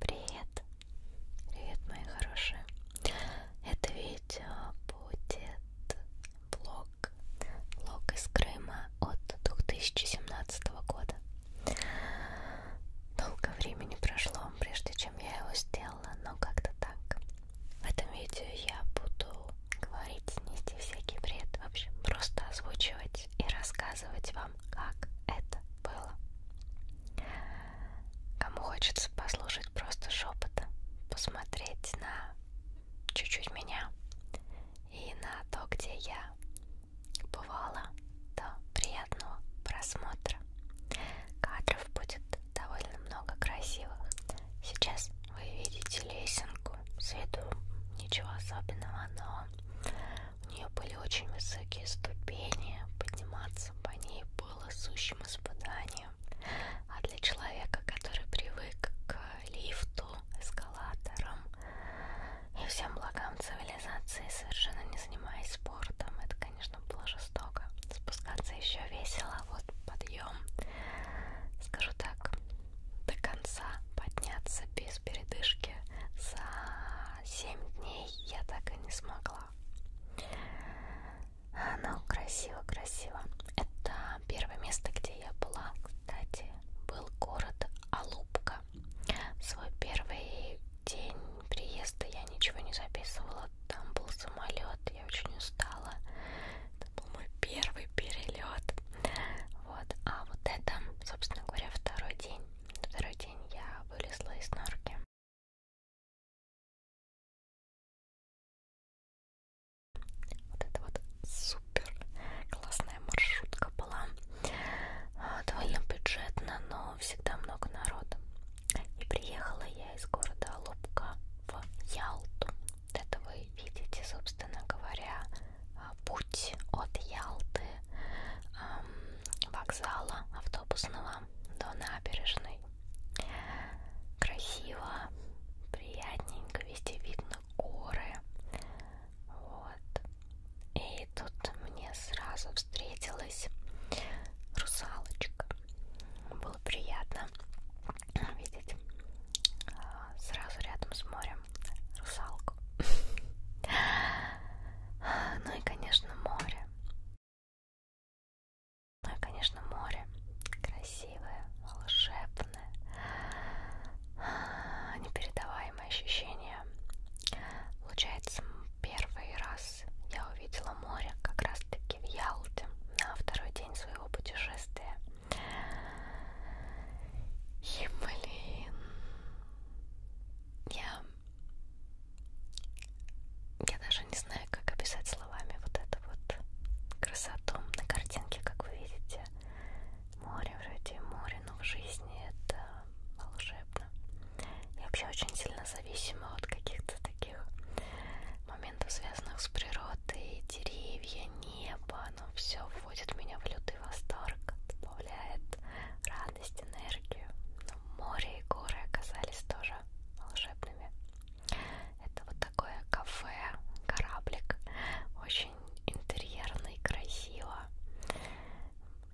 Привет! Привет, мои хорошие! Это видео будет влог, влог из Крыма от 2017 года. Долго времени прошло, прежде чем я его сделала, но как-то так. В этом видео я буду говорить, нести всякий бред, вообще просто озвучивать и рассказывать вам вам, как это было. Кому хочется послушать просто шепота, посмотреть на чуть-чуть меня и на то, где я бывала, то приятного просмотра. Кадров будет довольно много красивых. Сейчас вы видите лесенку, с виду ничего особенного, но у нее были очень высокие ступени, подниматься по ней было сущим испытанием. А для человека, который привык к лифту, эскалаторам и всем благам цивилизации, совершенно не занимаясь спортом, это, конечно, было жестоко. Спускаться еще весело, а вот подъем, скажу так, до конца подняться без передышки за 7 дней я так и не смогла. Но ну, красиво-красиво. Это первое место, где я была, кстати, был город Алупка. В свой первый день приезда я ничего не записывала. Там был самолет, я очень устала. Это был мой первый перелет. Вот. А вот это, собственно говоря, второй день второй день я вылезла из норки. Вот это вот супер классная маршрутка была. А, довольно бюджетно, но всегда много народа. И приехала я из города Лубка в Ялту. Это вы видите, собственно говоря, путь от Ялты вокзала автобусного до набережной. Красиво, приятненько, везде видно горы. Вот. И тут мне сразу встретилась русалочка. Было приятно видеть а, сразу рядом с морем русалку. Ну и, конечно, море. Ну и, конечно, море. Красивое, волшебное. Непередаваемое ощущение. Получается, первый раз я увидела море как раз-таки в Ялте на второй день своего путешествия. И, блин, я я даже не знаю, как описать словами вот эту вот красоту на картинке, как вы видите. Море вроде море, но в жизни это волшебно. Я вообще очень сильно зависима от каких-то таких моментов, связанных с природой, деревья, небо, оно все вводит меня в лютый восторг добавляет радость, энергию. Но море и горы оказались тоже волшебными. Это вот такое кафе, кораблик, очень интерьерно и красиво.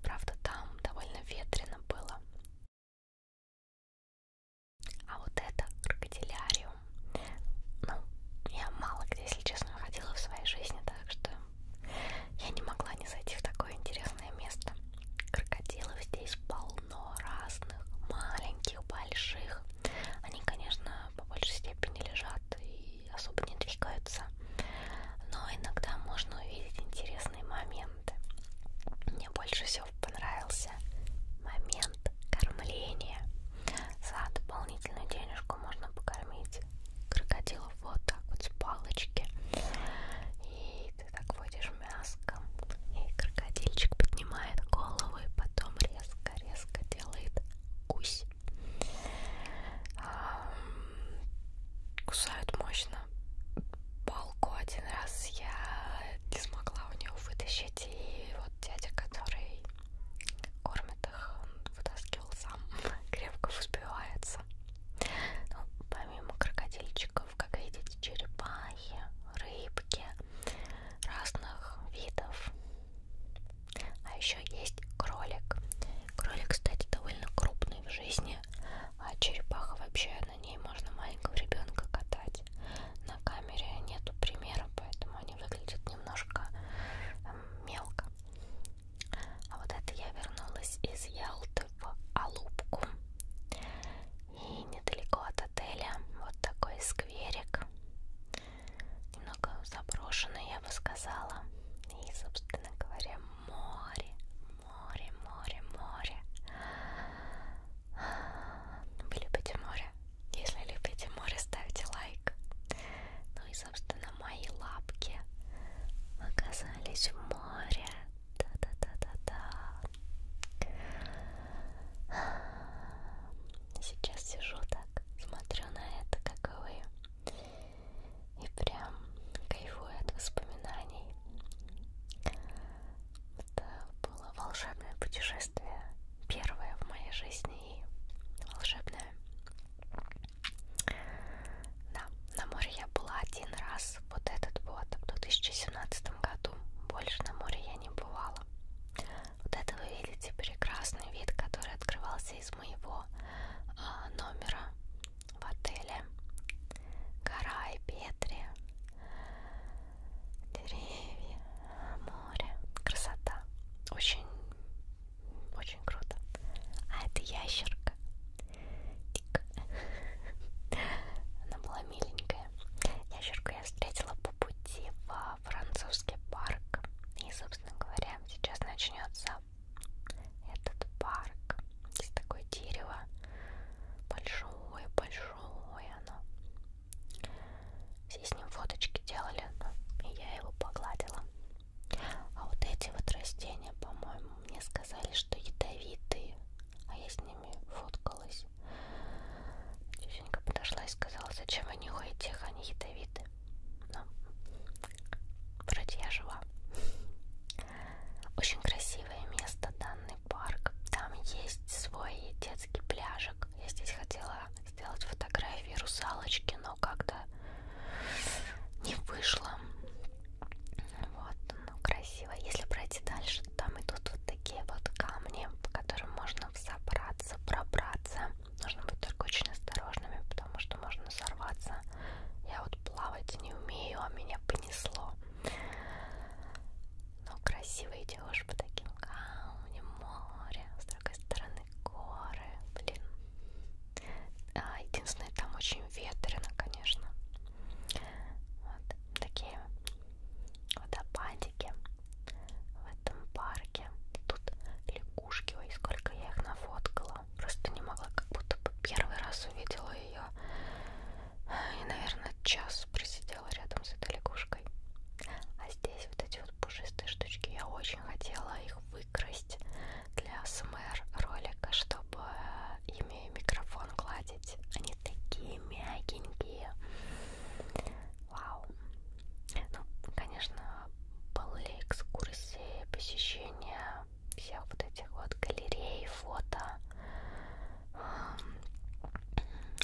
Правда, там довольно ветрено было. А вот это крокодиляриум. Ну, я мало где, если честно, ходила в своей жизни, так что я не могла не зайти в такое интересное место. Крокодилов здесь полно разных, маленьких, больших. Они, конечно, по большей степени лежат и особо не двигаются. Но иногда можно увидеть интересные моменты. Мне больше всего понравился момент кормления. За дополнительную денежку можно покормить крокодилов вот так вот с палочки. И ты так водишь мяском, и крокодильчик поднимает голову и потом резко-резко делает гусь. Кусают мощно. Палку один раз я не смогла у нее вытащить, и вот дядя, который кормит их, он вытаскивал сам, крепко взбивается. Ну, помимо крокодильчиков, как видите, черепахи, рыбки разных видов. А еще есть кролик. Кролик, кстати, довольно крупный в жизни, а черепаха вообще на ней можно маленького ребенка катать. На камере нету примера, поэтому они выглядят немножко э, мелко. А вот это я вернулась из Ялты в Алубку. И недалеко от отеля вот такой скверик. Немного заброшенный, я бы сказала. И, собственно говоря, море, море, море, море. Вы любите море? Если любите море, ставьте лайк. Ну и, собственно, мои лапки оказались в море да-да-да-да-да. Сейчас сижу так, смотрю на это, как и вы. И прям кайфую от воспоминаний. Это было волшебное путешествие. Первое в моей жизни и волшебное. Да, на море я была один раз, вот этот вот, в 2017 году. Больше на море я не бывала. Вот это вы видите прекрасный вид, который открывался из моего э, номера в отеле. Гора и Петри, деревья, море, красота. Очень, очень круто. А это ящерка. Тик. Она была миленькая. Ящерку я встретила по пути во французский парк. И, собственно говоря, сейчас начнется этот парк. Здесь такое дерево. Большое, большое оно. Все с ним фоточки делали, и я его погладила. А вот эти вот растения, по-моему, мне сказали сказали, что ядовитые, а я с ними фоткалась. Тетенька подошла и сказала, зачем вы нюхаете их, они ядовиты. Но ну, вроде я жива. Очень красивое место, данный парк. Там есть свой детский пляжик. Я здесь хотела сделать фотографии русалочки, но как-то не вышло. Вот оно ну, красиво. Если пройти дальше, то там идут вот такие вот камни, по которым можно взобраться, пробраться. Нужно быть только очень осторожными, потому что можно сорваться. Я вот плавать не умею, а меня понесло. Но красиво идешь по таким камням, море, с другой стороны горы, блин. А, единственное, там очень ветрено, конечно. Вот такие водопадики в этом парке. Тут лягушки, ой, сколько я их нафоткала. Просто не могла, как будто бы первый раз увидела ее. И, наверное, час просидела рядом с этой лягушкой. А здесь вот эти вот пушистые штучки. Я очень хотела их выкрасть для СМР ролика, чтобы э, им умею микрофон гладить. Они такие мягенькие. Вау. Ну, конечно, были экскурсии, посещения всех вот этих вот галерей, фото,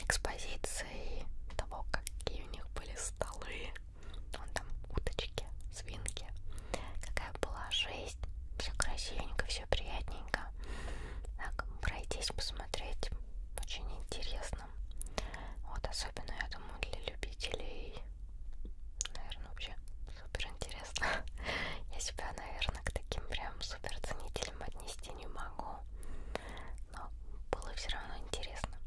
экспозиций, того, какие у них были столы. Вон там уточки, свинки какая была жизнь, все красивенько, все приятненько. Так, пройтись, посмотреть, очень интересно. Вот, особенно, я думаю, для любителей, наверное, вообще супер интересно. Я себя, наверное, к таким прям супер ценителям отнести не могу. Но было все равно интересно.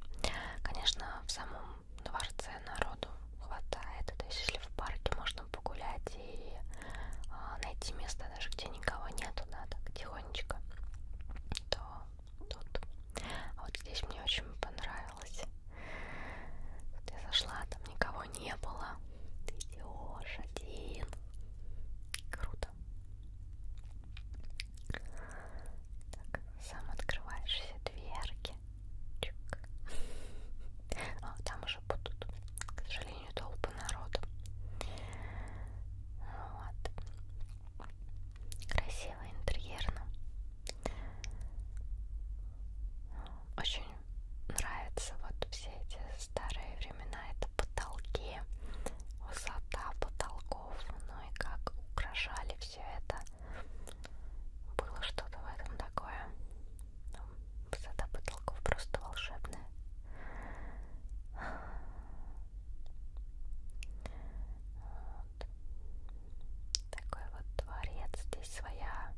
Конечно, в самом дворце народу хватает. То есть, если в парке можно можно погулять и а, найти место даже, где никого нету, да, так тихонечко, то тут. А вот здесь мне очень понравилось. Тут я зашла, там никого не было. Ты идешь один. Круто. Так, сам открываешь все дверки. Чик. А, там уже будут, к сожалению, сожалению, толпы народу. Вот. Красиво интерьерно. Очень нравятся вот все эти старые времена. Это потолки, высота потолков, ну и как украшали все это. Было что-то в этом такое Высота ну, потолков просто волшебная. Вот. Такой вот дворец. Здесь своя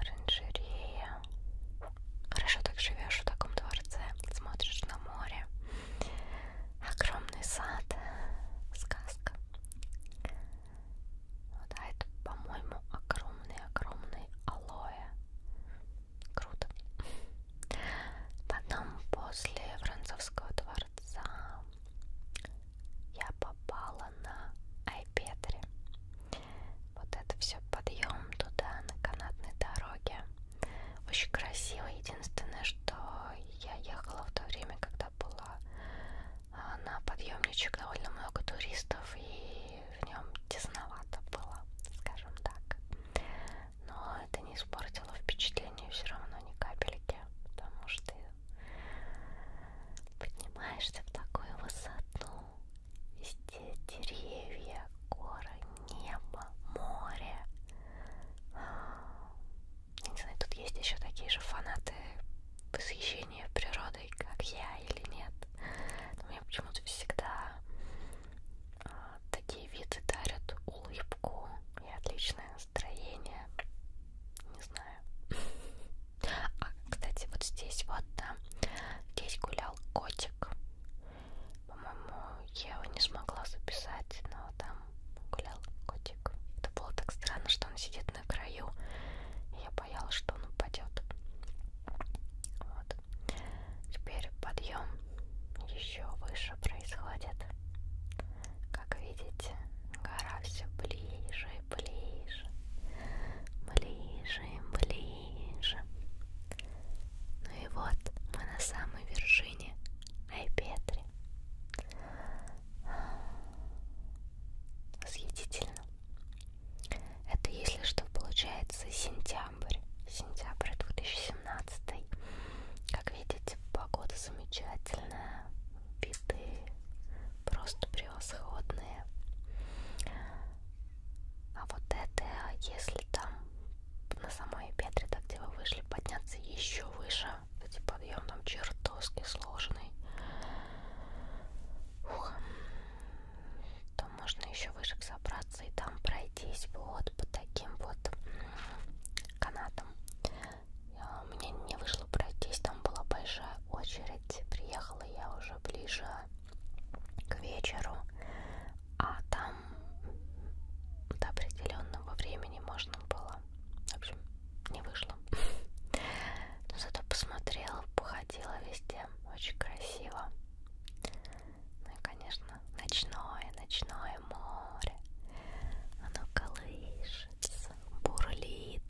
оранжерея. Хорошо так живешь в таком дворце. Смотришь на море. Огромный сад. Сказка. Вот, а это, по-моему, огромный-огромный алоэ. Круто. Потом после французского дворца я попала на Айпетре. Вот это все подъем туда на канатной дороге. Очень красиво. Единственное, что я ехала в то время, когда была а, на подъемничек довольно много туристов и в нем тесновато было, скажем так. Но это не испортило впечатление все равно ни капельки, потому что поднимаешься в такую высоту, везде деревья, горы, небо, море. Я не знаю, тут есть еще такие же фанаты восхищения природой гордой, как я или нет. Но мне почему-то всегда э, такие виды дарят улыбку и отличное настроение. Не знаю. А, кстати, вот здесь вот там, здесь гулял котик. По-моему, я его не смогла записать, но там гулял котик. Это было так странно, что он сидит на краю. И я боялась, что он упадет. Вот. Теперь подъем еще выше происходит. Как видите, гора все ближе и ближе. Ближе и ближе. Ну и вот мы на самой вершине Айпетри. Восхитительно. Это, если что, получается сентябрь. Сентябрь 2017. Как видите, погода замечательная. Виды просто превосходные. А вот это, если там на самой петре, так где вы вышли, подняться еще выше. Кстати, подъем там чертовски сложный. Ух то можно еще выше собраться и там пройтись вот по таким вот канатам. А, у меня не вышло пройтись, там была большая очередь. Приехала я уже ближе к вечеру, а там до определенного времени можно было. В общем, не вышло. Но зато посмотрела, походила везде. Очень красиво. Ну и, конечно, ночное, ночное море. Оно колышется, бурлит.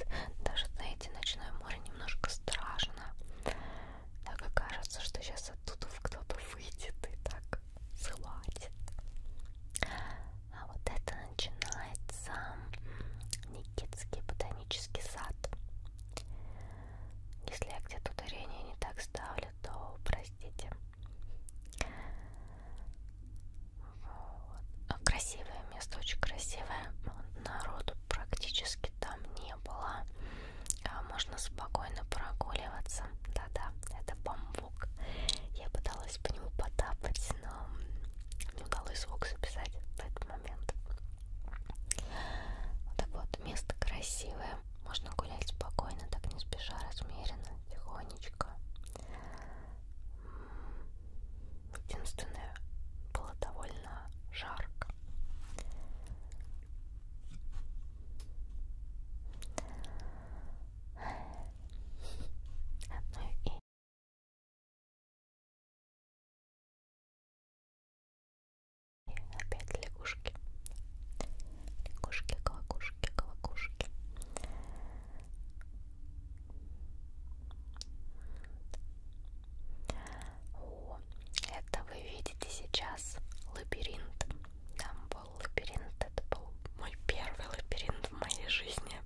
Даже, знаете, ночное море немножко страшно. Так и кажется, что сейчас оттуда кто-то выйдет и так схватит. А вот это начинается Никитский ботанический сад. Если я где-то ударение не так ставлю, то простите. Вот. А, красивое место, очень красивое. Народу практически там не было. А, можно спокойно прогуливаться. Да-да, это бамбук. Я пыталась по нему потапать, но не удалось звук записать в этот момент. Вот так вот, место красивое, можно гулять спокойно, так не спеша, размеренно, тихонечко. Единственное, было довольно жарко. Ну и и опять лягушки. Лягушки, колокушки, колокушки. О, это вы видите сейчас лабиринт. Там был лабиринт, это был мой первый лабиринт в моей жизни.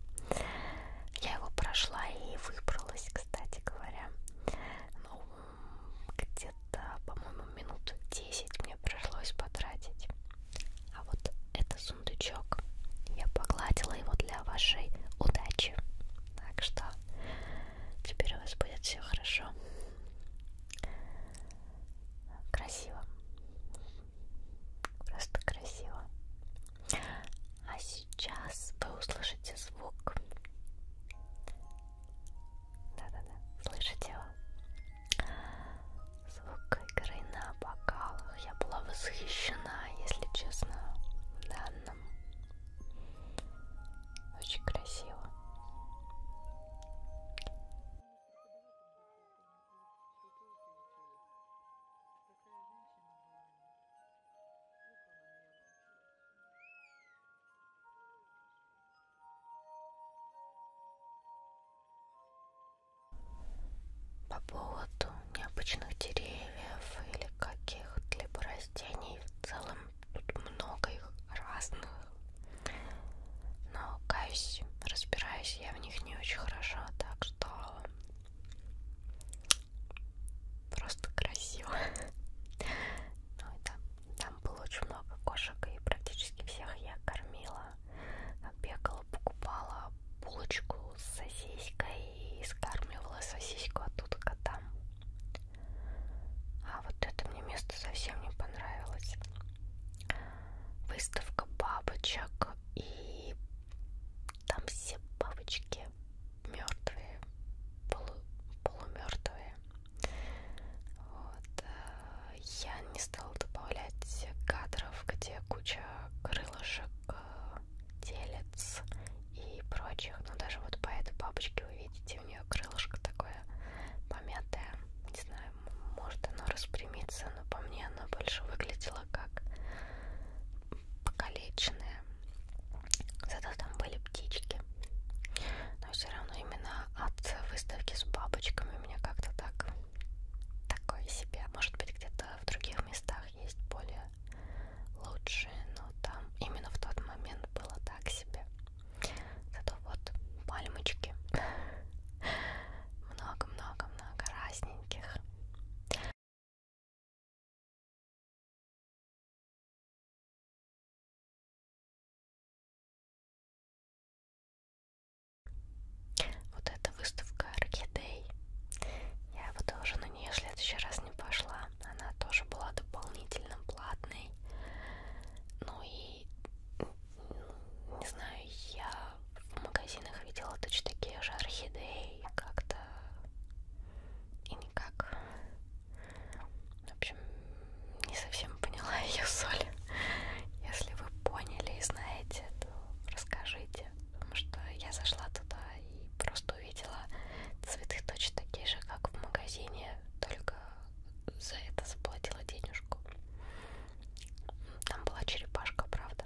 Я его прошла и выбралась, кстати говоря. Ну, где-то, по-моему, минут 10 мне пришлось потратить. А вот это сундучок. Я погладила его для вашей удачи. Так что теперь у вас будет все хорошо. Красиво. Просто красиво. А сейчас вы услышите звук да-да-да, слышите его? Звук игры на бокалах. Я была восхищена, если честно, данным. Очень красиво. По поводу необычных деревьев или каких-либо растений в целом тут много их разных. Но, каюсь, разбираюсь я в них не очень хорошо, так что просто красиво. Ну, это, да, там было очень много кошек, и практически всех я кормила, бегала, покупала булочку с сосиской и скармливала сосиску оттуда котам. А вот это мне место совсем не понравилось. Выставка бабочек, и там все бабочки мертвые, полу полумертвые. Вот. Э, я не стала добавлять кадров, где куча крылышек, телец э, и прочих. Но даже вот по этой бабочке вы видите, у нее крылышко такое помятое. Не знаю, может оно распрямится, но по мне оно больше выглядело как покалеченное. Зато там были птички. Но все равно именно от выставки с бабочками у меня как-то так такое себе. Может быть где-то в других местах есть более лучшие, но там именно в тот момент было так себе. Зато вот пальмочки. Много-много-много разненьких. Вот эта выставка Орхидей. Я бы тоже на нее в следующий раз не пошла. Она тоже была дополнительно платной. Ну и не знаю, я в магазинах видела точно такие же орхидеи. Как-то и никак. В общем, не совсем поняла ее соль. Если вы поняли и знаете, то расскажите. Потому что я зашла туда и просто увидела цветы точно такие же, как в магазине, только за это заплатила денежку. Там была черепашка, правда.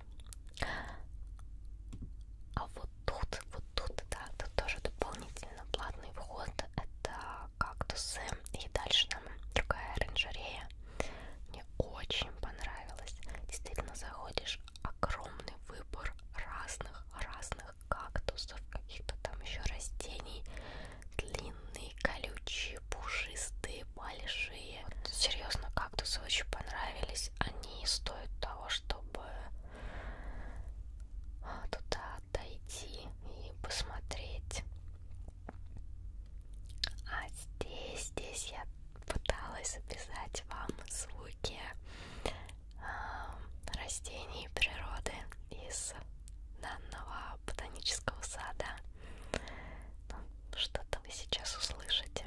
А вот тут, вот тут, да, тут тоже дополнительно платный вход. Это кактусы. И дальше там другая оранжерея. Мне очень понравилось. Действительно, заходишь, огромный выбор разных-разных кактусов, каких-то там еще растений. Длинные, колючие, пушистые, большие. Вот, серьезно, кактусы очень понравились. Они стоят того, чтобы туда отойти и посмотреть. А здесь, здесь я пыталась записать вам звуки э, растений и природы из данного ботанического сада. Ну, Что-то вы сейчас услышите.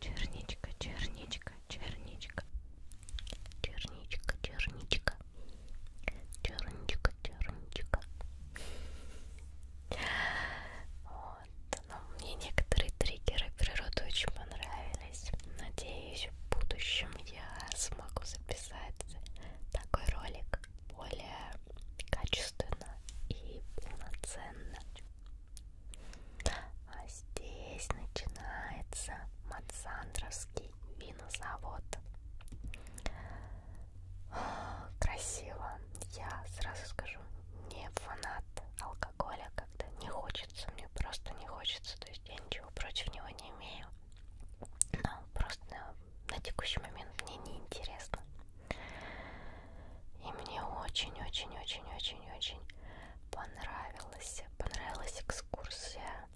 Черничка, черничка, черничка, черничка, черничка, черничка, черничка. Вот, но ну, мне некоторые триггеры природы очень понравились. Надеюсь, в будущем я смогу записать такой ролик более качественно и полноценно. А здесь начинается Мацандровский винозавод. Красиво. Я сразу скажу, не фанат алкоголя, когда не хочется, мне просто не хочется, то есть я ничего против него не имею. Но просто на текущий момент мне не интересно. И мне очень-очень-очень-очень-очень понравилась, понравилась экскурсия.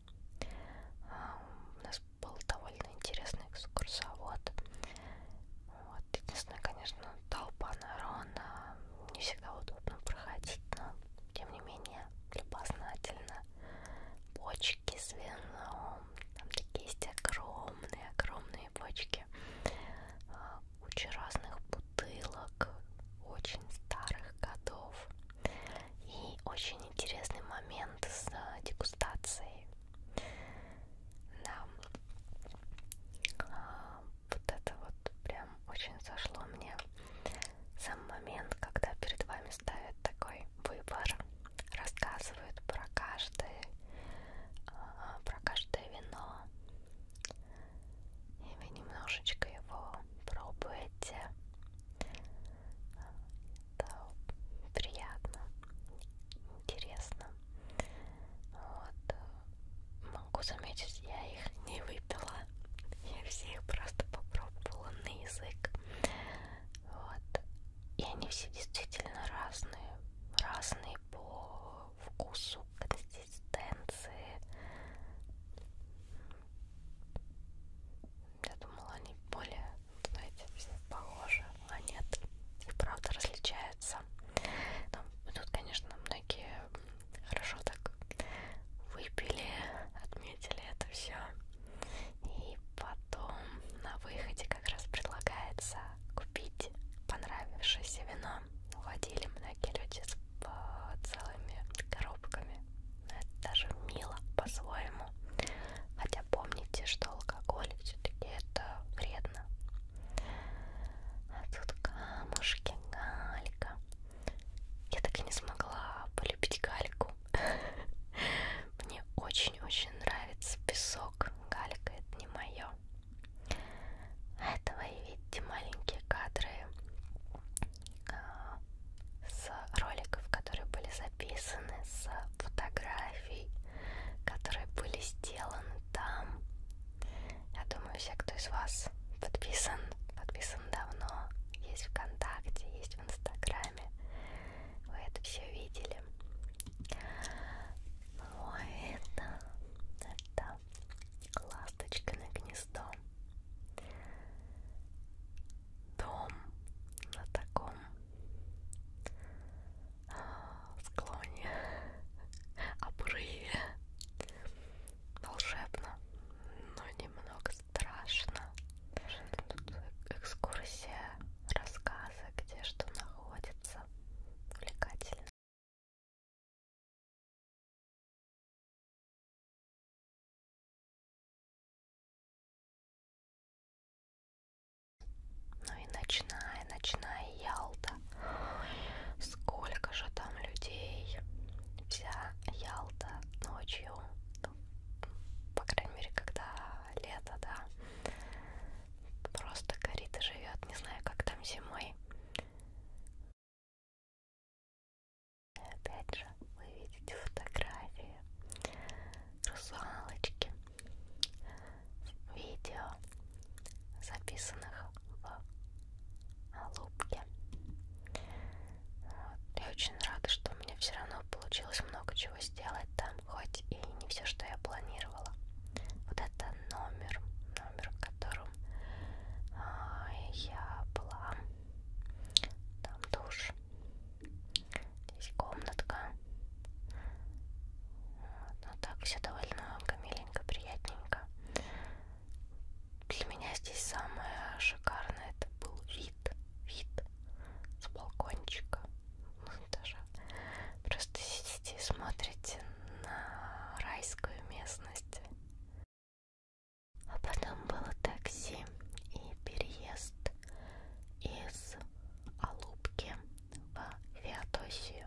А, у нас был довольно интересный экскурсовод. Вот, единственное, конечно, толпа народа. Не всегда удобно проходить, но тем не менее любознательно. Почки, свино, там такие есть огромные-огромные бочки. А, куча разных бутылок, очень старых годов. И очень интересный момент с а, дегустацией. Да. А, вот это вот прям очень зашло мне. Сам момент, когда перед вами ставят такой выбор, рассказывают про каждое, а, про каждое вино, и вы немножечко его пробуете. Это приятно, интересно. Вот. Могу заметить, я их не выпила. Я всех просто попробовала на язык. Вот. И они все действительно разные. Разные по вкусу, консистенции. Я думала, они более, знаете, все похожи, а нет. И правда различаются. Но тут, конечно, многие хорошо так выпили, отметили это все. И Потом на выходе как раз предлагается купить понравившееся вино. Уходили многие люди с э, целыми коробками. Это даже мило по-своему. Хотя помните, что алкоголь все-таки это вредно. А тут камушки, галька. Я так и не смогла полюбить гальку песку. Мне очень-очень нравится песок. Галька это не мое. Это вы видите маленькие кадры а, с роликов, которые были записаны, с фотографий, которые были сделаны там. Я думаю, все, кто из вас подписан, подписан давно, есть ВКонтакте, есть в Инстаграме, вы это все видели. Ну а это, это ласточка на гнездо. Дом на таком а, склоне, обрыве. Волшебно, но немного страшно. Тут экскурсия, рассказы, где что находится. Увлекательно. Ну и ночная, ночная Ялта. Ой, сколько же там людей. Вся Ялта ночью. Ну, по крайней мере, когда лето, да. Просто горит и живет. Не знаю, как там зимой. И опять же, вы видите фотографии, русалочки, видео, записанных в Алубке. Вот. Я очень рада, что у меня все равно получилось много чего сделать там хоть и не все, что я планировала. Вот это номер, номер, в котором а, я была. Там душ, здесь комнатка. Вот, но ну так все довольно миленько, приятненько. Для меня здесь самое шикарное это был вид, вид с балкончика тоже просто сидите и смотрите на райскую местность. А потом было такси и переезд из Алубки в Феодосию.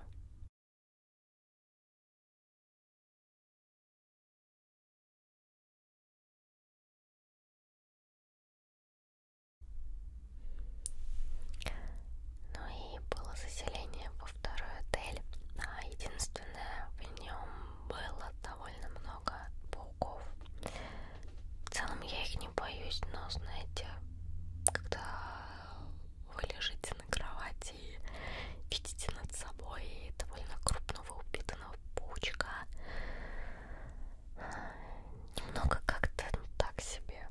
Ну и было заселение во второй отель. А единственное, в нем было довольно много пауков. В целом я их не боюсь, но знаете, когда вы лежите на кровати и видите над собой довольно крупного упитанного паучка, немного как-то ну, так себе.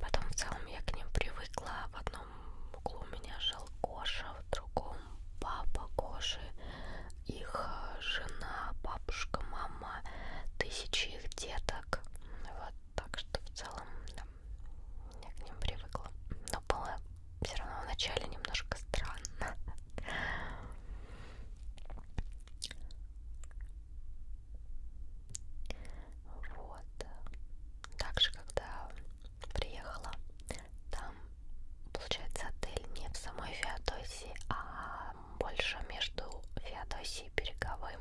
Потом в целом я к ним привыкла. В одном углу у меня жил Коша, в другом папа Коши, их э, жена, бабушка, мама, тысячи их деток. Вот так что в целом да, я к ним привыкла. Но было все равно вначале немножко странно. Вот. Также, когда приехала, там, получается, отель не в самой Феодосии, а больше между Феодосией и Береговым.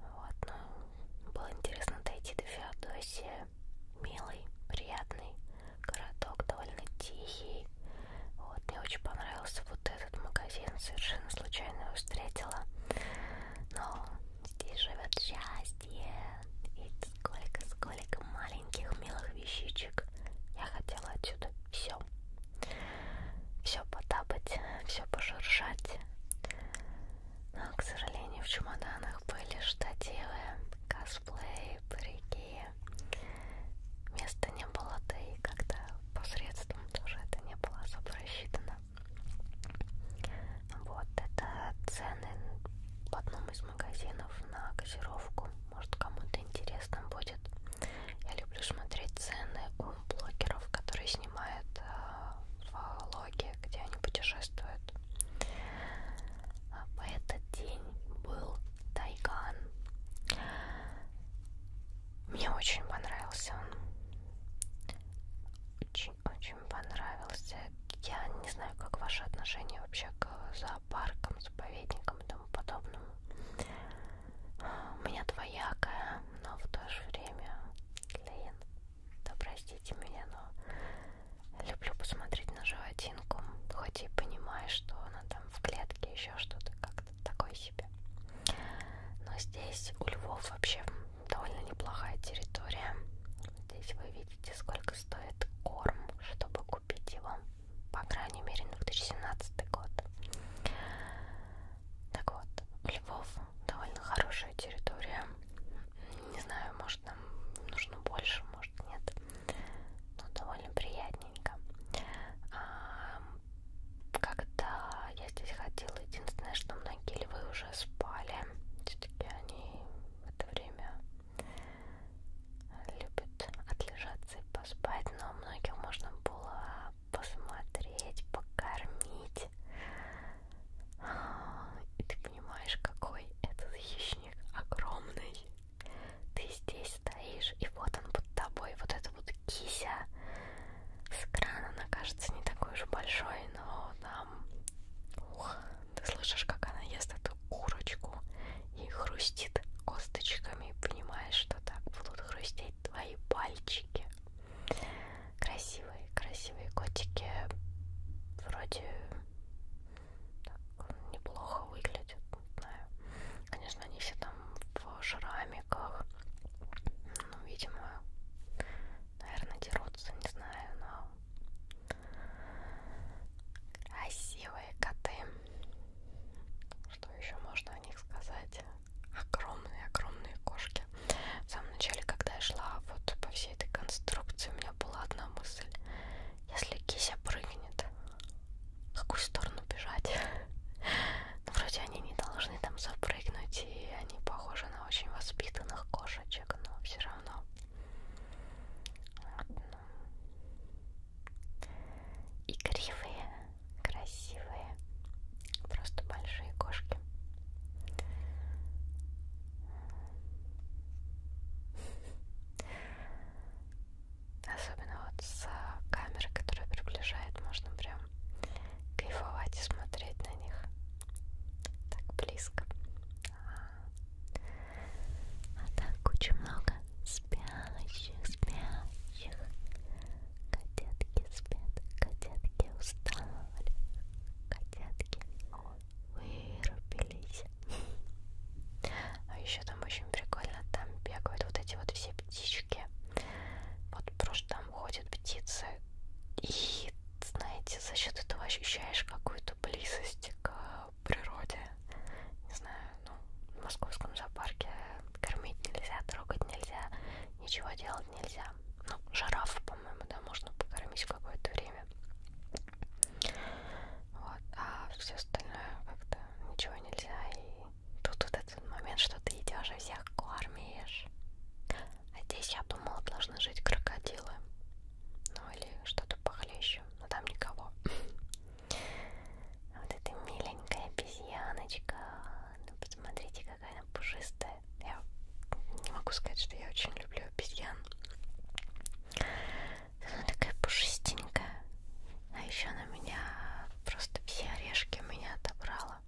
Вот, ну, было интересно дойти до Феодосии. Милый, приятный городок, довольно тихий. Вот, мне очень понравился вот этот магазин, совершенно случайно его встретила. Но здесь живет счастье. И сколько, сколько маленьких милых вещичек. Я хотела отсюда все. Все потапать, все пошуршать. Но, к сожалению, в чемоданах были штативы, косплей, парики. Места не было, да и когда по средствам тоже это не было особо рассчитано. Вот, это цены в одном из магазинов на газировку. Может, кому-то интересно будет. Я люблю смотреть цены у блогеров, которые снимают э, влоги, где они путешествуют. А, в этот день был тайган. Мне очень понравился он. Очень-очень понравился. Я не знаю, как ваши отношения вообще к зоопаркам, заповедникам и тому подобному. У меня двоякая, но в то же время, блин, да простите меня, но люблю посмотреть на животинку, хоть и понимаю, что она там в клетке, еще что-то как-то такой себе. Но здесь у Львов вообще довольно неплохая территория. Здесь вы видите, сколько стоит корм, чтобы купить его. По крайней мере, на 2017 год. Так вот, у Львов довольно хорошая территория. Не знаю, может нам нужно больше, может нет. Но довольно приятненько. А, когда я здесь ходила, единственное, что многие львы уже спали. Все-таки они в это время любят отлежаться и поспать, но многих можно было посмотреть, покормить. И ты понимаешь, какой этот хищник огромный. Ты здесь стоишь, и вот он под тобой, вот эта вот кися с экрана она кажется не такой уж большой, но там... Ух, ты слышишь, как она ест эту курочку и хрустит косточками, понимаешь, что так будут хрустеть твои пальчики. Красивые, красивые котики вроде так неплохо выглядят, не знаю. Конечно, они все там в шраме, роликах. Ну, видимо, наверное, дерутся, не знаю, но... Красивые коты. Что еще можно о них сказать? Огромные-огромные кошки. В самом начале, когда я шла вот по всей этой конструкции, у меня была одна мысль. Если кися прыгнет, в какую сторону бежать? Ну, вроде они не должны там запрыгнуть, и они похожи на очень воспитанных кошечек, но все равно. Вот, ну. И кривые, красивые, просто большие кошки. Особенно вот с камеры, которая приближает, можно прям кайфовать и смотреть на них так близко. А, а так куча много спящих, спящих. Котятки спят, котятки устали, котятки вырубились. А еще там очень прикольно, там бегают вот эти вот все птички. Вот просто там ходят птицы. И, знаете, за счет этого ощущаешь какую-то близость к природе. Не знаю, ну, в московском зоопарке кормить нельзя, трогать нельзя, ничего делать нельзя. Ну, жираф, по-моему, да, можно покормить какое-то время. Вот, а все остальное как-то ничего нельзя и тут вот этот момент, что ты идешь и всех кормишь. А здесь, я думала, должны жить крокодилы. Ну или что-то похлеще, но там никого. А вот эта миленькая обезьяночка. Ну, посмотрите, какая она пушистая. Я не могу сказать, что я очень люблю обезьян. Она такая пушистенькая. А еще на меня просто все орешки меня отобрала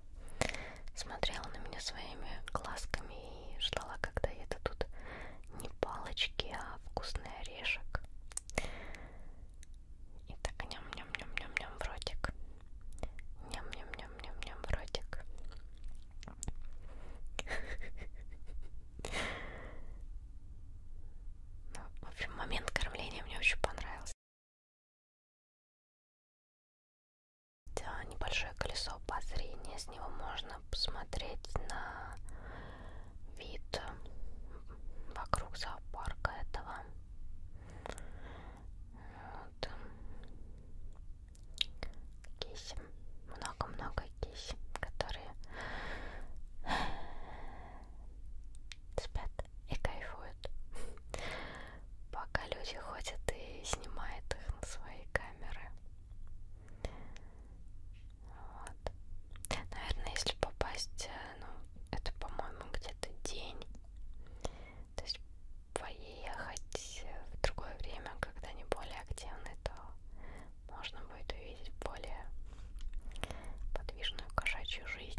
смотрела на меня своими глазками и ждала, когда это тут не палочки, а вкусный орешек. И так ням-ням-ням-ням-ням в ротик. Ням-ням-ням-ням-ням в ротик. Ну, в общем, момент кормления мне очень понравился. Да, небольшое колесо обозрения, с него можно посмотреть на вид вокруг зоопарка этого. Вот. Киси, много-много киси, которые спят и кайфуют пока люди ходят и снимают их на свои камеры. Вот. Наверное, если попасть, э, ну, это, по-моему, где-то день. То есть поехать э, в другое время, когда не более активны, то можно будет увидеть более подвижную кошачью жизнь.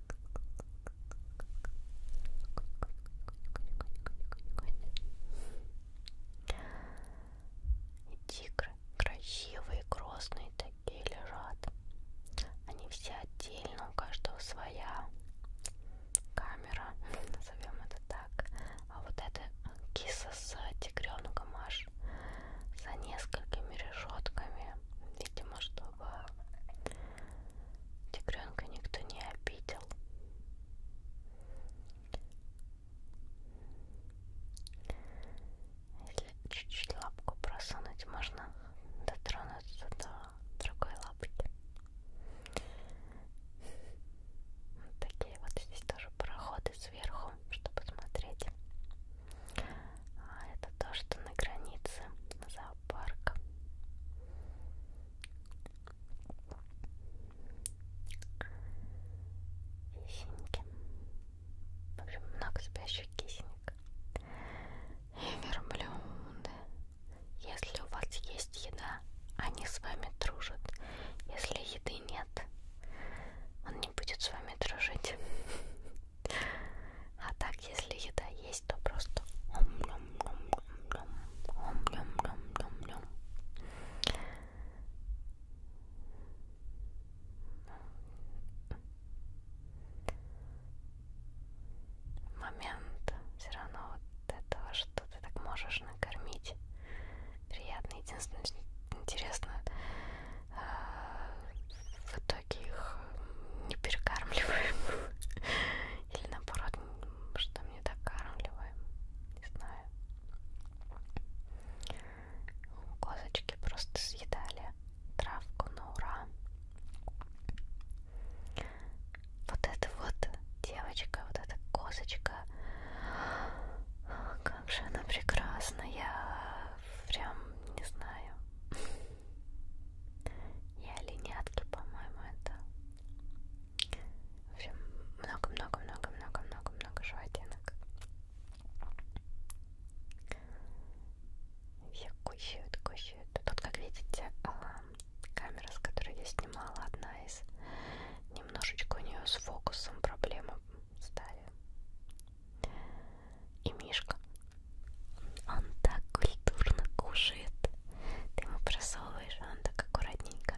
Тигры красивые, грозные такие лежат. Они все отдельно, у каждого своя камера, назовем это так. А вот эта киса с тигренком аж за несколькими решетками, видимо, чтобы Тигренка никто не обидел. Если чуть-чуть лапку просунуть, можно дотронуться до другой лапки. Вот такие вот здесь тоже проходы сверху, чтобы смотреть. А это то, что на границе за зоопарк. Кисеньки. В общем, много спящих кисенек. И верблюды. Если у вас есть еда, они с вами дружат. Если еды нет, он не будет с вами дружить. А так, если еда есть, то просто ом-ням-ням-ням-ням-ням-ням-ням-ням. Момент все равно вот этого, что ты так можешь накормить. Приятно, единственное, интересно, а, в итоге их не перекармливаем или наоборот, что мне так кармливаем. Не знаю. Козочки просто съедали травку на ура. Вот эта вот девочка, вот эта козочка. Как же она прекрасная. Прям не знаю и оленятки, по-моему, это. В общем, много-много-много-много-много-много животинок. Все кушают, кушают. Тут, как видите, а, камера, с которой я снимала, одна из... Немножечко у нее с фокусом проблемы стали. И Мишка. Он так культурно кушает. Ты ему просовываешь, а он так аккуратненько.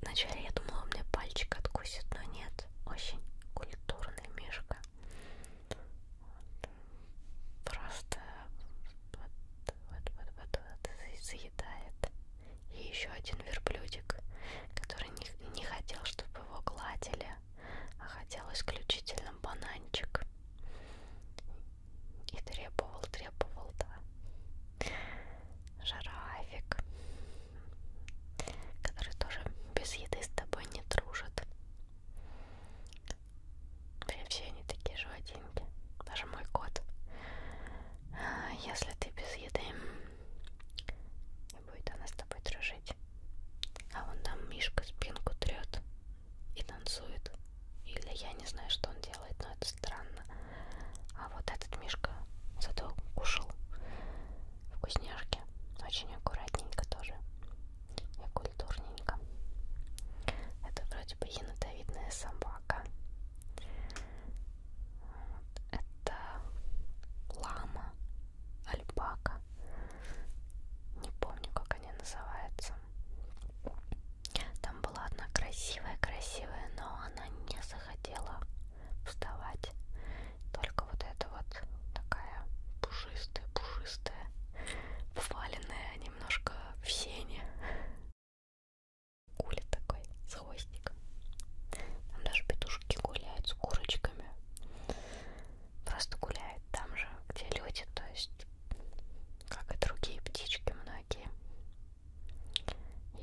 Вначале я думала, у меня пальчик откусит, но нет. Очень культурный мишка. Просто вот, вот, вот, вот, вот заедает. И еще один верблюдик, который не, не хотел, чтобы его гладили а хотел исключительно бананчик. И требовал, требовал, да. Жирафик, который тоже без еды с тобой не дружит. Прям все они такие животинки. Даже мой кот. А если ты без еды, и будет она с тобой дружить. А вон там Мишка спинку трет и танцует. Или я не знаю, что он делает, но это странно. А вот этот Мишка зато кушал вкусняшки. Очень аккуратненько тоже. И культурненько. Это вроде бы енотовидная собака. Это лама, альпака. Не помню, как они называются. Там была одна красивая-красивая, но она не захотела вставать. Только вот эта вот такая пушистая-пушистая, валенная немножко в сене. Куля такой, с хвостиком. Там даже петушки гуляют с курочками просто гуляет там же, где люди, то есть, как и другие птички многие.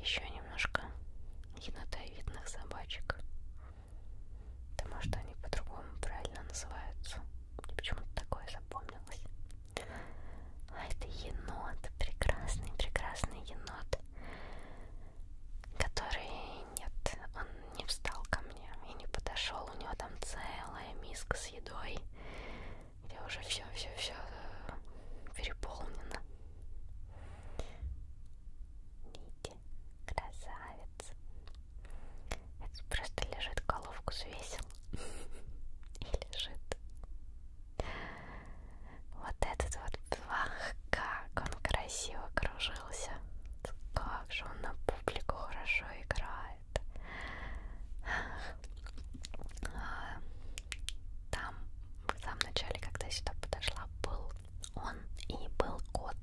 Еще немножко енотовидных собачек, потому что они по-другому правильно называются. Мне почему-то такое запомнилось. А это енот, прекрасный, прекрасный енот, который нет, он не встал ко мне и не подошел. У него там целая миска с едой, где уже все-все-все э, переполнено. Нити, красавец. Это просто лежит, головку свесил и лежит. Вот этот вот, ах, как он красиво кружит раскружился. Как же он на публику хорошо играет. А, там, в самом начале, когда я сюда подошла, был он и был кот.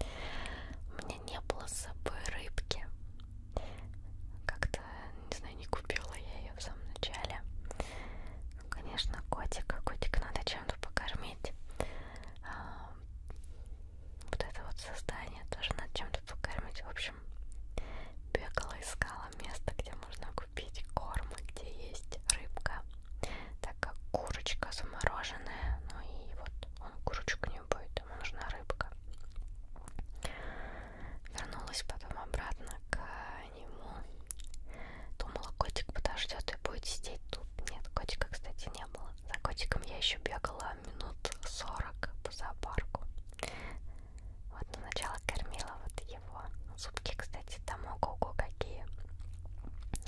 У меня не было с собой рыбки. Как-то, не знаю, не купила я ее в самом начале. Ну, конечно, котика. Котика надо чем-то покормить. А, вот это вот создание тоже над чем-то покормить. В общем, бегала, искала место, где можно купить корм, где есть рыбка, так как курочка замороженная, ну и вот он курочку не будет, ему нужна рыбка. Вернулась потом обратно к нему. Думала, котик подождет и будет сидеть тут. Нет, котика, кстати, не было. За котиком я еще бегала минут 40 по зоопарку. Вот на начало кормила вот его. Зубки, кстати, там ого-го какие.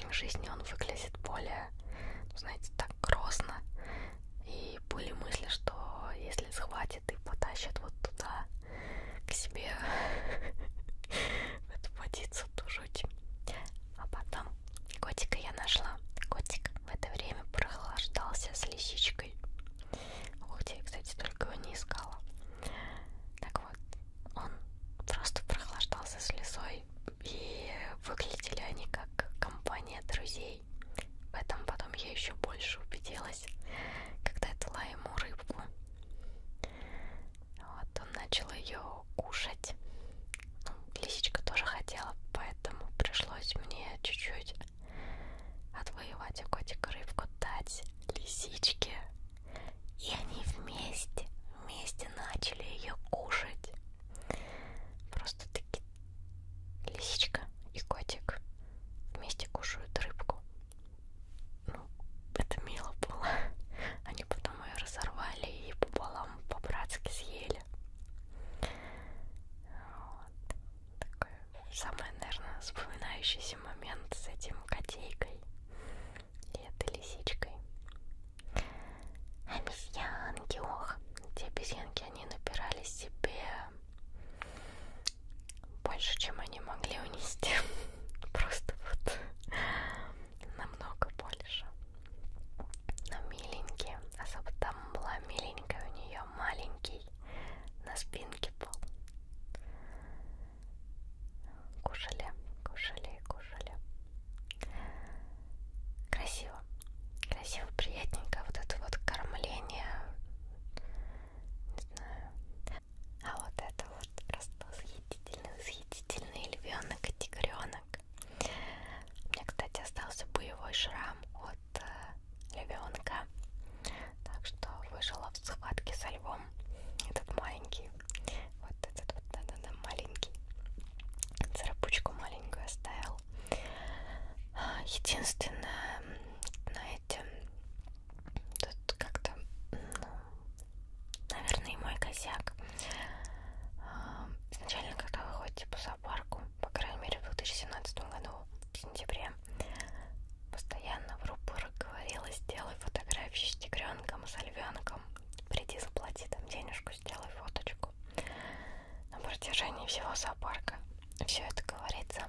В жизни он выглядит более, ну, знаете, так грозно. И были мысли, что если схватит и потащит вот туда, к себе, в эту водицу, то жуть. А потом Котика я нашла. Котик в это время прохлаждался с лисичкой. Ух ты, я, кстати, только его не искала. Так вот, он просто прохлаждался с лисой. И выглядели они как компания друзей. В этом потом я еще больше убедилась, когда я дала ему рыбку. Вот он начал ее кушать. Ну, лисичка тоже хотела, поэтому пришлось мне чуть-чуть отвоевать у котика рыбку, дать лисичке. И они вместе, вместе начали ее кушать. Просто таки лисичка и котик вместе кушают рыбку. Ну, это мило было. Они потом ее разорвали и пополам по-братски съели деле. Вот. Такой самый, наверное, вспоминающийся момент с этим котейкой и этой лисичкой. Обезьянки, ох, эти обезьянки, они напирали себе больше, чем они могли унести. Просто вот намного больше но миленький, особо там была миленькая у нее маленький на спинке был. Кушали, кушали, кушали. Красиво, красиво, приятненько. Вот это вот кормление, не знаю. А вот это вот просто восхитительный, восхитительный львенок и тигренок. У меня, кстати, остался боевой шрам от э, львенка. Так что выжила в схватке со львом. Этот маленький. Вот этот вот, да-да-да, маленький. Царапучку маленькую оставил. А, единственное, знаете, тут как-то, ну, наверное, и мой косяк. А, изначально, когда вы ходите по зоопарку, по крайней мере, в 2017 году, в сентябре, постоянно в рупорах говорила, сделай фотографии с тигренком, с львенком, приди, заплати там денежку, сделай фоточку. На протяжении всего зоопарка все это говорится.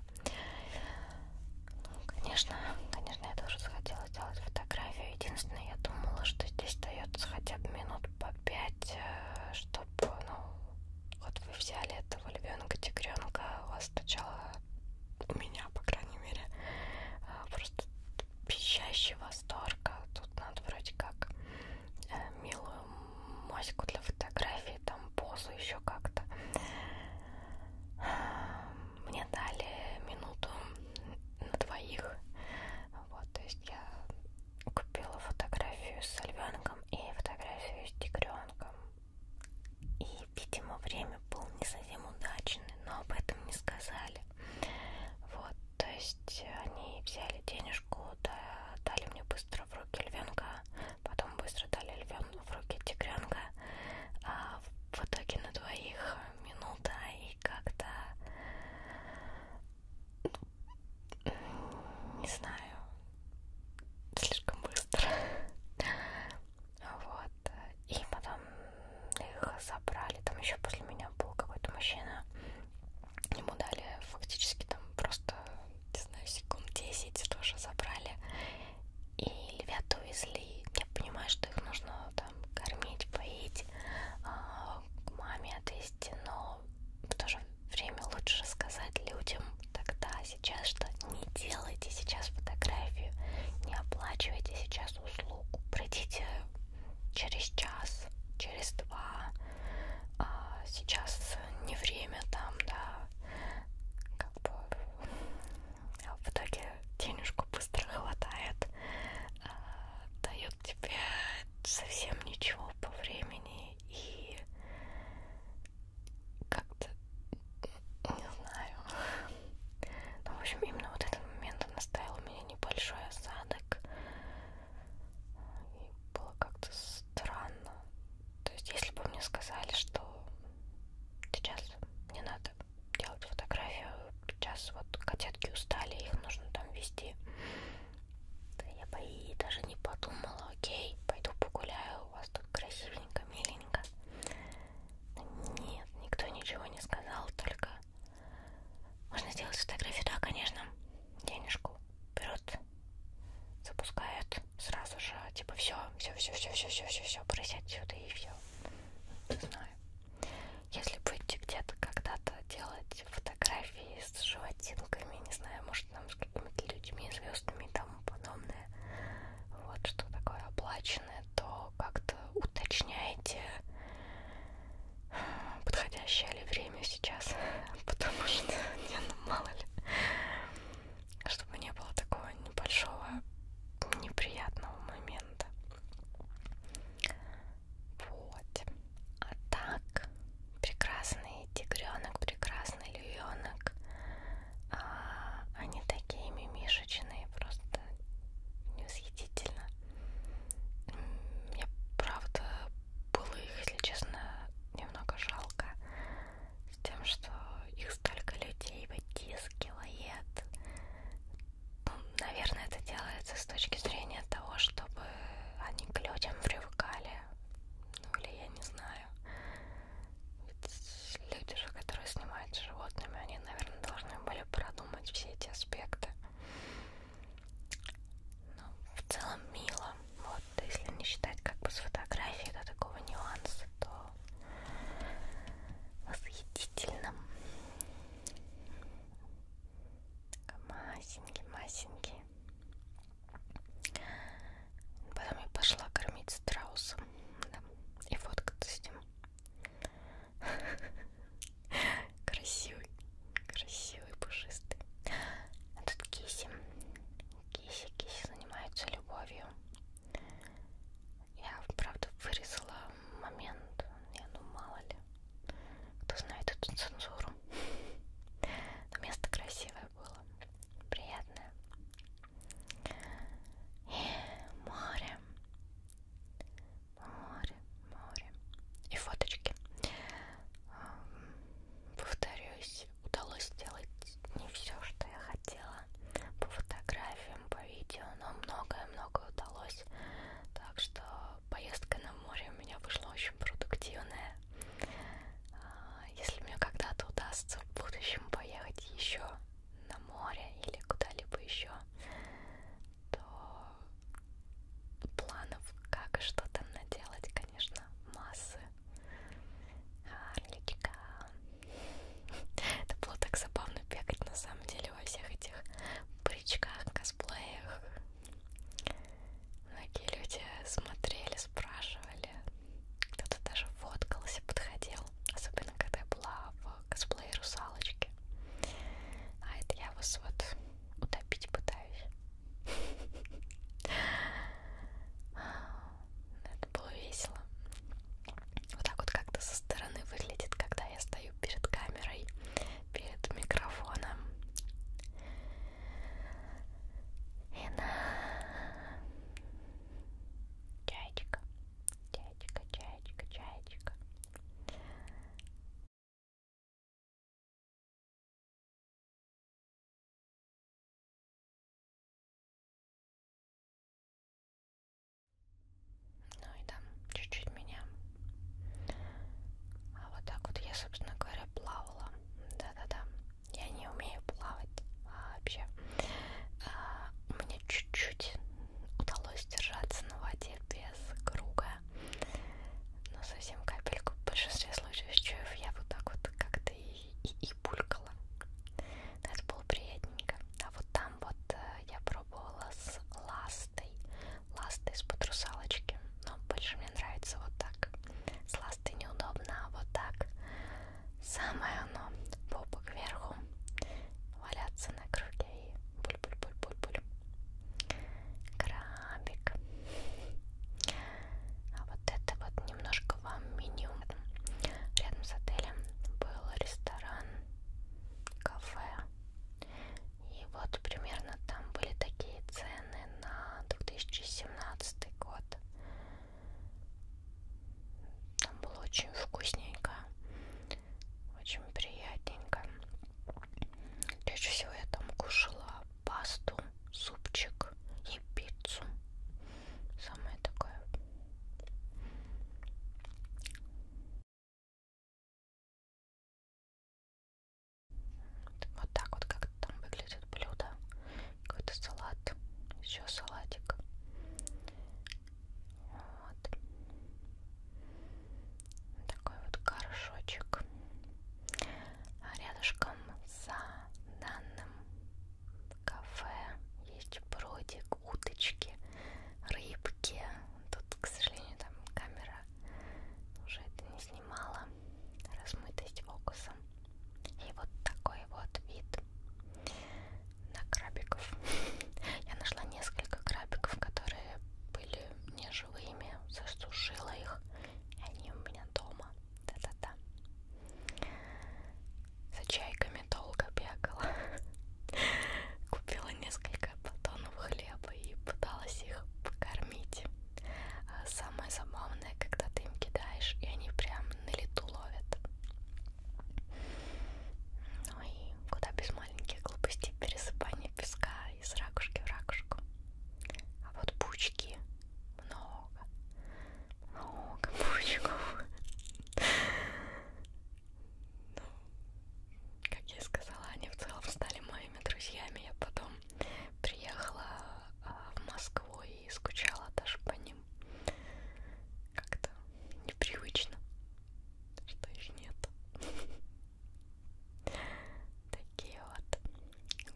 Ну, конечно, конечно, я тоже захотела сделать фотографию. Единственное, я думала, что здесь дается хотя бы минут по пять, э, что чтобы, ну, вот вы взяли этого львенка, тигренка, у вас сначала у меня, по крайней мере, э, просто пищащий восторг. А тут надо вроде как э, милую моську для фотографии, там позу еще как-то. Мне дали минуту на двоих. Вот, то есть я купила фотографию с львенком и фотографию с тигренком. И, видимо, время было не совсем удачное, но об этом не сказали. Вот, то есть они взяли денежку, да, дали мне быстро в руки львенка, потом быстро дали львенку в руки тигренка. А в итоге на двоих минута и как-то не знаю, слишком быстро. Вот. И потом их забрали. Там еще после меня был какой-то мужчина. Ему дали фактически там просто, не знаю, секунд 10 тоже забрали. И львят увезли. Я понимаю, что их нужно там кормить, поить, а, к маме отвезти, но но в то же время лучше сказать людям тогда, сейчас, что не делайте сейчас фотографию, не оплачивайте сейчас услугу, пройдите через час, через два, а сейчас не время там, да, как бы а, в итоге денежку быстро хватает, а, дают тебе совсем ничего по времени и как-то не знаю. Но ну, в общем именно вот этот момент он оставил у меня небольшой осадок. И было как-то странно. То есть если бы мне сказали, что сейчас не надо делать фотографию, сейчас вот котятки устали, их нужно там вести да я бы и даже не подумала, окей, пойду погуляю, у вас тут красивенько, миленько. Нет, никто ничего не сказал, только можно сделать фотографию, да, конечно, денежку берут, запускают сразу же, типа все, все, все, все, все, все, все, все, просят сюда и все. Не знаю. Если будете где-то когда-то делать фотографии с животными хотелками, не знаю, может там с какими-то людьми, звездами и тому подобное, вот что такое оплаченное, то как-то уточняйте подходящее ли время сейчас, потому что не, ну, мало ли, чтобы не было такого небольшого неприятного момента. Вот. А так, прекрасный тигренок, прекрасный львенок. А, они такие мимишечные, просто невосхитительно. Мне правда было их, если честно, немного жалко. С тем, что их столько людей вытискивает. Ну, наверное, это делается с точки зрения того, чтобы они к людям привыкали, ну или я не знаю. Ведь люди же, которые снимают с животными, они, наверное, должны были продумать все эти аспекты. Но в целом мило. Вот, если не считать как бы с фотографией до такого нюанса, то восхитительно. Масенький, масенький. Потом я пошла кормить страуса да, и фоткаться с ним. Красивый, красивый, пушистый. А тут киси. Киси, киси занимаются любовью. Я, правда, вырезала момент. Я, ну, мало ли. Кто знает эту цензуру. Но место красивое, такое было приятное. И э, море, море, море. И фоточки. Повторюсь, удалось сделать не все, что я хотела. По фотографиям, по видео, но многое-многое удалось. Так что поездка на море у меня вышла очень продуктивная. А, если мне когда-то удастся в будущем поехать еще на море или куда-либо еще, то планов как и что там наделать, конечно, массы. Арличка. Это было так забавно бегать на самом деле во всех этих брючках, косплеях Многие люди смотрели, спрашивали, кто-то даже фоткался, подходил, особенно когда я была в косплее русалочки. А это я вас вот утопить пытаюсь. Ну, это было весело. Вот так вот как-то со стороны выглядит, когда я стою перед камерой, перед микрофоном и на чайчика, чайчика, чайчика, чайчика. Ну и там чуть-чуть меня. А вот так вот я, собственно говоря, плавала. Да-да-да. Я не умею плавать вообще. А, мне чуть-чуть удалось держаться на воде без круга. Но совсем капельку. В большинстве случаев чуев я вот так вот как-то и, и, и булькала. Но это было приятненько. А вот там вот э, я пробовала с ластой. Ластой из-под русалочки. Но больше мне нравится вот так с ласты неудобно, а вот так самое оно, попа кверху, валяться на круге и буль-буль-буль-буль-буль. Крабик. А вот это вот немножко вам меню. Рядом с отелем был ресторан, кафе. И вот примерно там были такие цены на 2017 год. Там было очень вкусненько, очень приятненько. Чаще всего я там кушала пасту, супчик и пиццу. Самое такое. Вот так вот как там выглядит блюдо какой-то салат, еще салатик. Вот. Такой вот горшочек. А рядышком за данным кафе есть бродик, уточки, рыбки. Тут, к сожалению, там камера уже это не снимала размытость фокуса. И вот такой вот вид на крабиков. Я нашла несколько крабиков, которые были неживыми, засушила их. И они у меня дома. Да-да-да. За чайками долго бегала. Купила несколько батонов хлеба и пыталась их покормить. Самое забавное, когда ты им кидаешь, и они прям на лету ловят. Ну и куда без маленьких глупостей пересыпания песка из ракушки в ракушку. А вот пучки много, много пучков. Ну, как я сказала, они в целом стали моими друзьями. Я потом приехала а, в Москву и и скучала даже по ним. Как-то непривычно, что их нет. Такие вот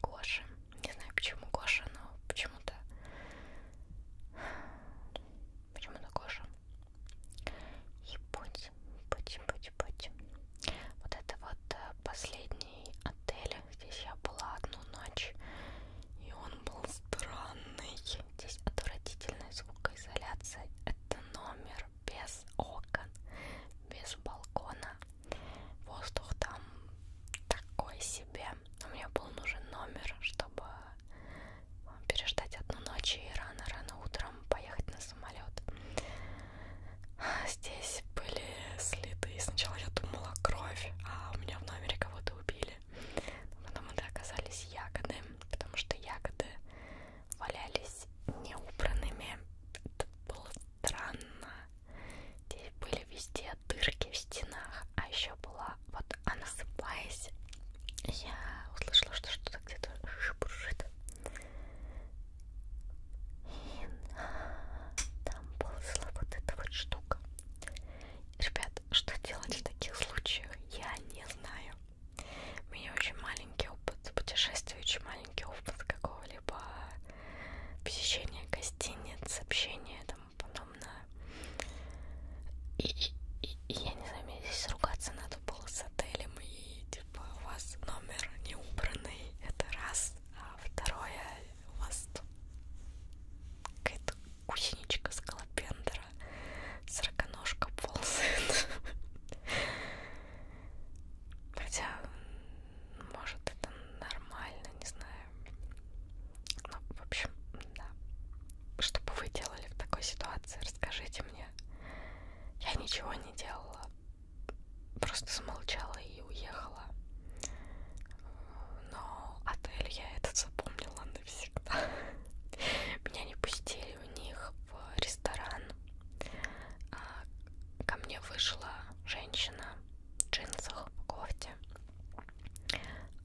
Гоши. Не знаю, почему Гоша, но почему-то... Почему-то Гоша. И путь, путь, путь, путь. Вот это вот э, последний отель Здесь я была одну ночь, и он был странный. Здесь отвратительная звукоизоляция. Это номер без окон, без балкона. Воздух там такой себе. Но мне был нужен номер, чтобы переждать одну ночь и рано-рано утром поехать на самолет. Здесь здесь были следы. Сначала я думала кровь, а у меня в номере кого-то убили. Но потом это оказались ягоды, потому что ягоды валялись неубранными. Это было странно. Здесь были везде дырки в стенах, а еще была вот она сыпаясь. Я услышала, что что-то где-то шебуршит. И там ползла вот эта вот штука. Ребят, что делать в таких случаях, я не знаю. У меня очень маленький опыт путешествий, очень маленький опыт какого-либо посещения гостиниц, общения и тому подобное. И, и, и я не знаю, мне здесь ругаться надо было с отелем и типа у вас номер не убранный, это раз. А второе, мост. Какая-то гусеничка скалопендра. Сороконожка ползает. Хотя, может, это нормально, не знаю. Ну, в общем, да. Что бы вы делали в такой ситуации, расскажите мне. Я ничего не делала. Просто смолчала и уехала но отель я этот запомнила навсегда. Меня не пустили у них в ресторан. А, ко мне вышла женщина в джинсах, в кофте.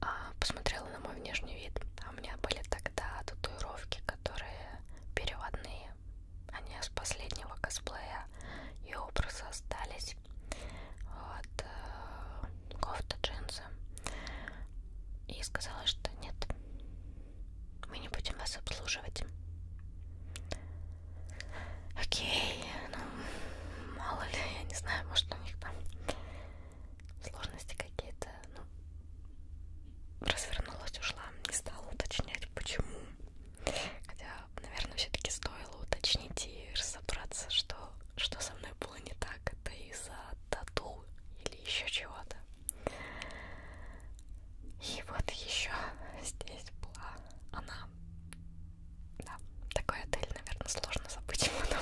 А, посмотрела на мой внешний вид. А у меня были тогда татуировки, которые переводные. Они а с последнего косплея и образы остались здесь. Вот. Э, кофта, джинсы. И сказала, что нет, мы не будем вас обслуживать. Окей, ну, мало ли, я не знаю, может у них там сложности какие-то. Ну, развернулась, ушла, не стала уточнять, почему. Хотя, наверное, все-таки стоило уточнить и разобраться, что что со мной было не так, это из-за тату или еще чего-то. И вот еще здесь была она. Да, такой отель, наверное, сложно забыть потом.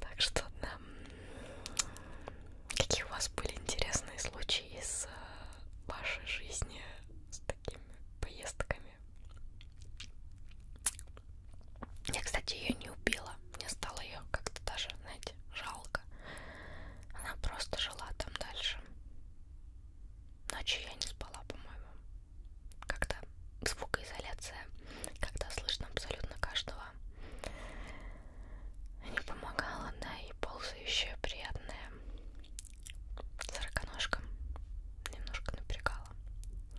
Так что, да. Какие у вас были интересные случаи из э, вашей жизни с такими поездками. Я, кстати, ее не убила. Мне стало ее как-то даже, знаете, жалко. Она просто жила там дальше. Ночью я не спала, по-моему. Как-то звукоизоляция, когда слышно абсолютно каждого, не помогала, да, и ползающая приятная сороконожка немножко напрягала.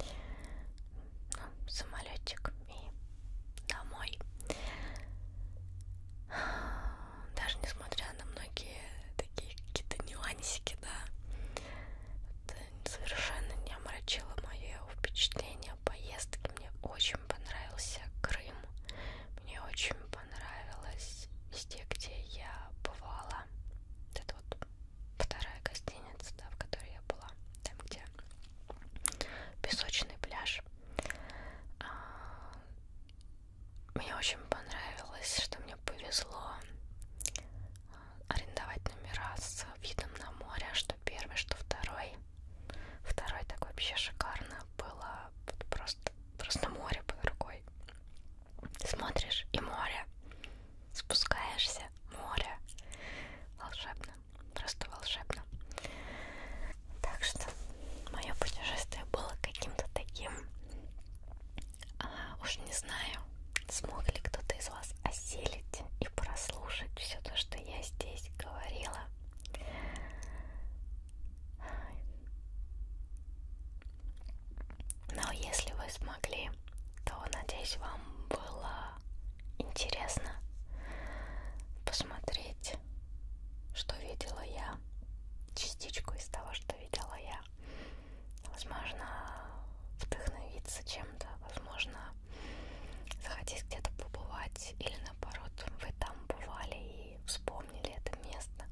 Ну, самолетик и домой. Даже несмотря на многие такие какие-то нюансики, да, это совершенно не омрачило мое впечатление о поездке. Мне очень понравился Крым. Мне очень понравилось везде, где я бывала была. Это вот вторая гостиница, да, в которой я была. Там, где песочный пляж. А, мне очень понравилось, что мне повезло а, арендовать номера с видом на море, что первый, что второй. Второй так вообще шикарно было. Просто, просто море под рукой смотришь и море, спускаешься, море, волшебно, просто волшебно. Так что мое путешествие было каким-то таким, а, уж не знаю, смог ли кто-то из вас осилить и прослушать все то, что я здесь говорила. Но если вы смогли, то надеюсь вам было интересно посмотреть, что видела я, частичку из того, что видела я. Возможно, вдохновиться чем-то, возможно, захотеть где-то побывать или наоборот, вы там бывали и вспомнили это место.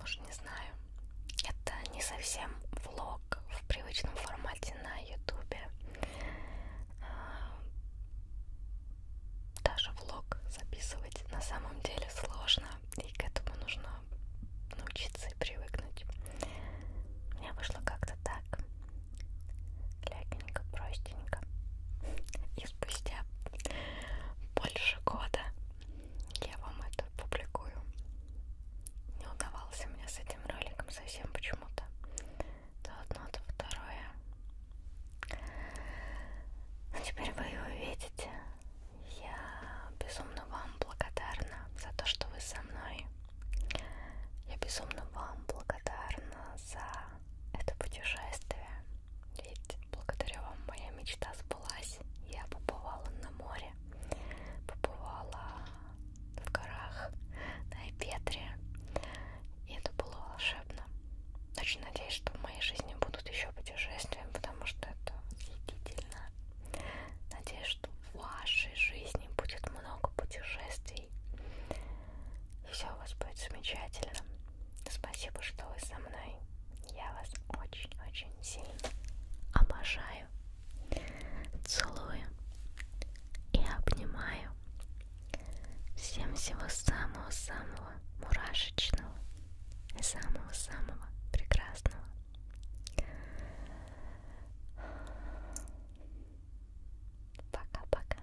Может, не знаю. Это не совсем влог в привычном формате на ютубе. А, даже влог записывать на самом деле сложно, и к этому нужно научиться и привыкнуть. У меня вышло как-то так. Легенько, простенько. И спустя больше года я вам это публикую. Не удавался мне с этим роликом совсем почему-то. То одно, то второе. Но ну, теперь вы его видите. Я безумно вам благодарна за то, что вы со мной. Я безумно вам благодарна за это путешествие. Ведь благодаря вам моя мечта сбылась. Я побывала на море, побывала в горах, на Эпетре. И это было волшебно. Очень надеюсь, что в моей жизни будут еще путешествия, потому что это восхитительно. Надеюсь, что в вашей жизни будет много путешествий. И все у вас будет замечательно. Спасибо, что вы со мной. Я вас очень-очень сильно обожаю, целую и обнимаю. Всем всего самого-самого мурашечного и самого-самого прекрасного. Пока-пока.